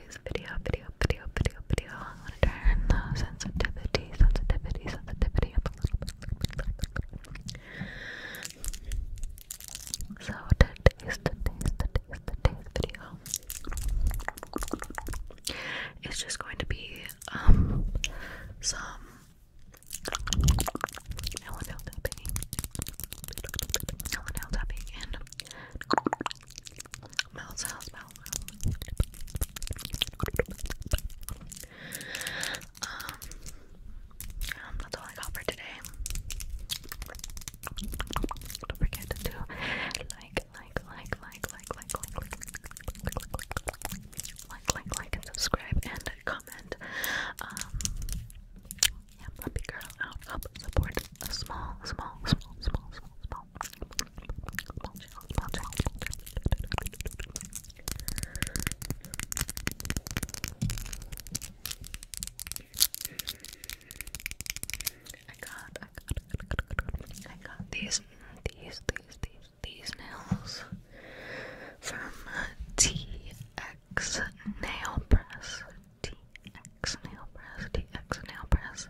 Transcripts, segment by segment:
today's video, video, video, video, video. I want to turn the sensitivity, sensitivity, sensitivity up a little So today's, today's, today's, today's video is just going to be um some. No one nail tapping. No that's all I got for today. Don't forget to do like, like, like, like, like, like, like, like, like, like, like, and subscribe and comment. Um, yeah, puppy girl out, up, support a small, small, small, small, small, small, out, bulge out, bulge I got, I got, I got these, these, these, these, these nails from TX Nail Press. TX Nail Press, TX Nail Press.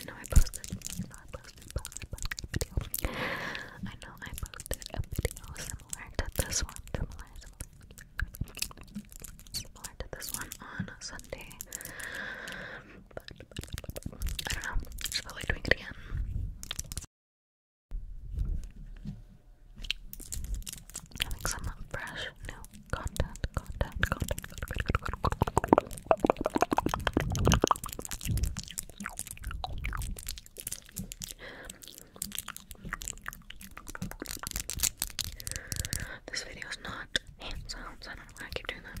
I know I posted, I know I posted, posted, a video. I know I posted a video similar to this one, similar, to this one on Sunday. But, I don't know, just felt like it again. Having some fresh new content, content, content. This video is not hand I don't know why I keep doing that.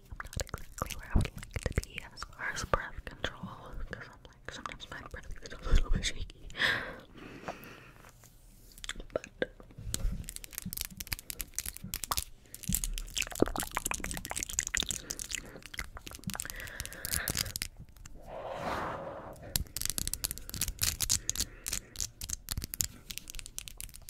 I'm not exactly where I would like to be as far as breath control because I'm like sometimes my breath is a little bit shaky.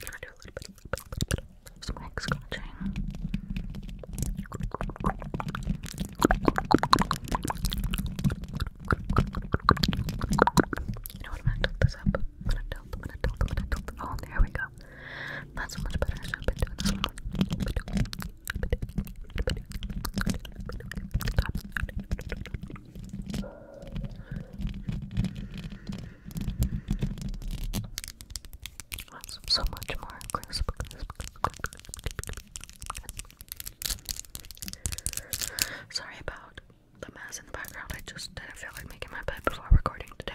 Can I do a little bit, little bit, little bit of some neck scratching? You know what? I'm gonna tilt this up. I'm gonna tilt, I'm gonna tilt, I'm gonna tilt. Oh, there we go. That's so much better. That's so much more Sorry about the mess in the background. I just didn't feel like making my bed before recording today.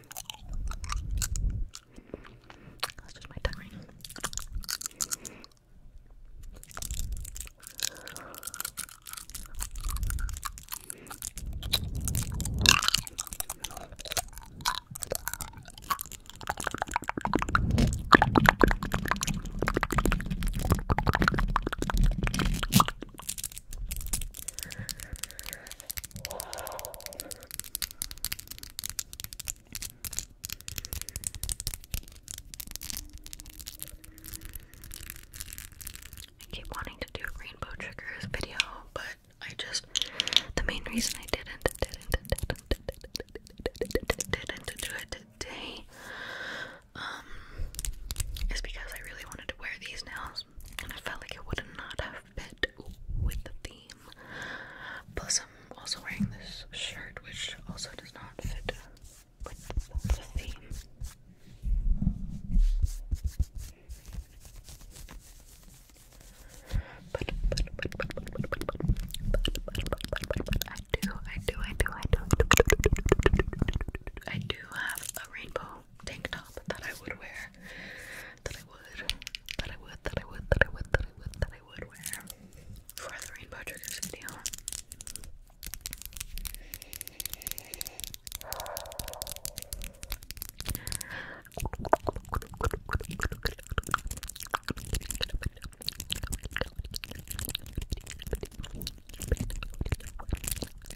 That's just my tongue ringing. I keep wanting to do a rainbow triggers video, but I just the main reason I didn't didn't didn't didn't do it today um is because I really wanted to wear these nails and I felt like it would not have fit with the theme. Plus, I'm also wearing this shirt, which also does not fit with the theme. But, but, but, but, but, but, but, but, but, I do, I do, I do, I do, I do have a rainbow tank top that I would wear. That I would. That I would. That I would. That I would. That I would. wear for the rainbow triggers video.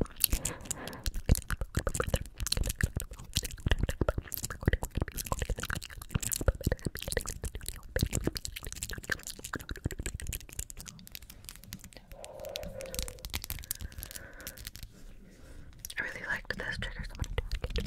I really liked this trigger. Somebody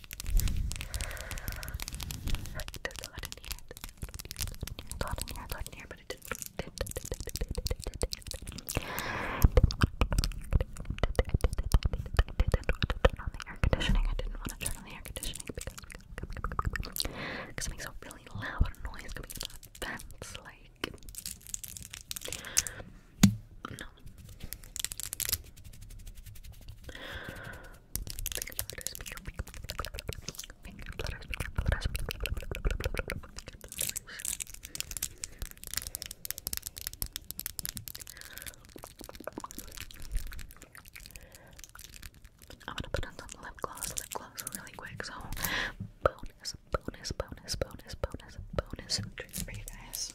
There's a lot in here. There's a lot in here, a lot in here, but it didn't. Turn on the air conditioning. I didn't want to turn on the air conditioning because because it makes a really loud noise coming out of the vents, like. I'm gonna put on some lip gloss, lip gloss really quick, so bonus, bonus, bonus, bonus, bonus, bonus treat for you guys.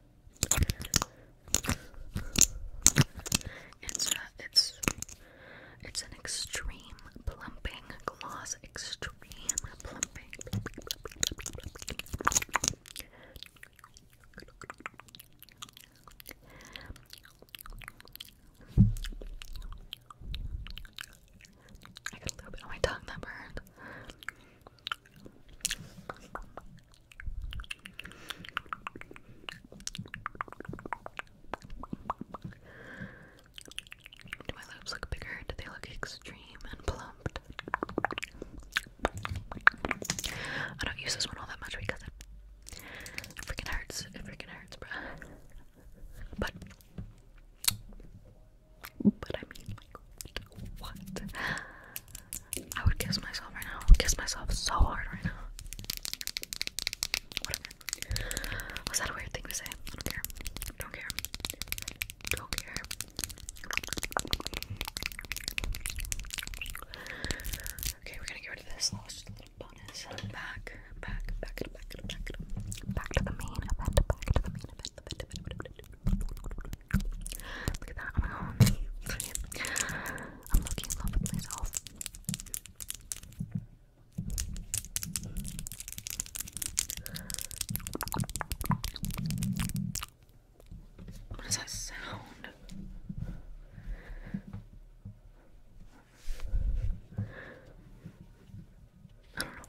it's uh, it's it's an extreme plumping gloss. Extreme plumping. I got a little bit on my tongue that burned. Do my lips look bigger? Do they look extreme and plumped? I don't use this one all that much because it, it freaking hurts. It freaking hurts, bruh. But but I mean, like, what? I would kiss myself right now. I would kiss myself so hard right now. Was that a weird thing to say? don't care. Don't care. Don't care. Okay, we're gonna get rid of this. little bonus. back, back, back, back, back, back to the main event. Back to the main event. Look at that. Oh I'm looking in love with myself. What does that sound? I don't know.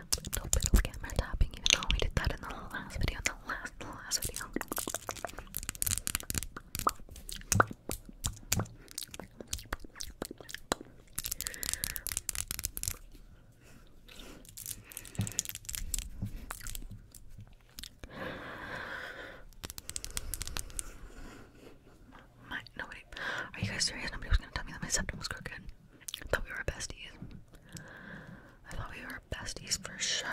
little bit of camera tapping, even though we did that in the last video, the last, the last video. My, nobody, are you guys serious? Nobody was gonna tell me that my septum was crooked. I thought we were besties. I thought we were besties for sure.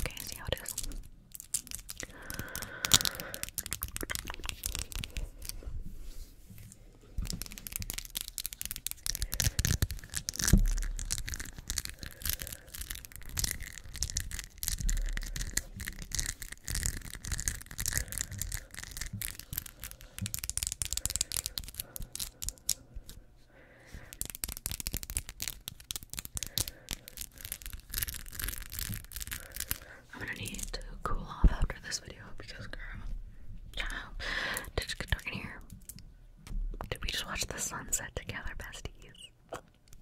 Okay, see how it is. I'm gonna need to cool off after this video because, girl, did you get dark in here? Did we just watch the sunset together, besties?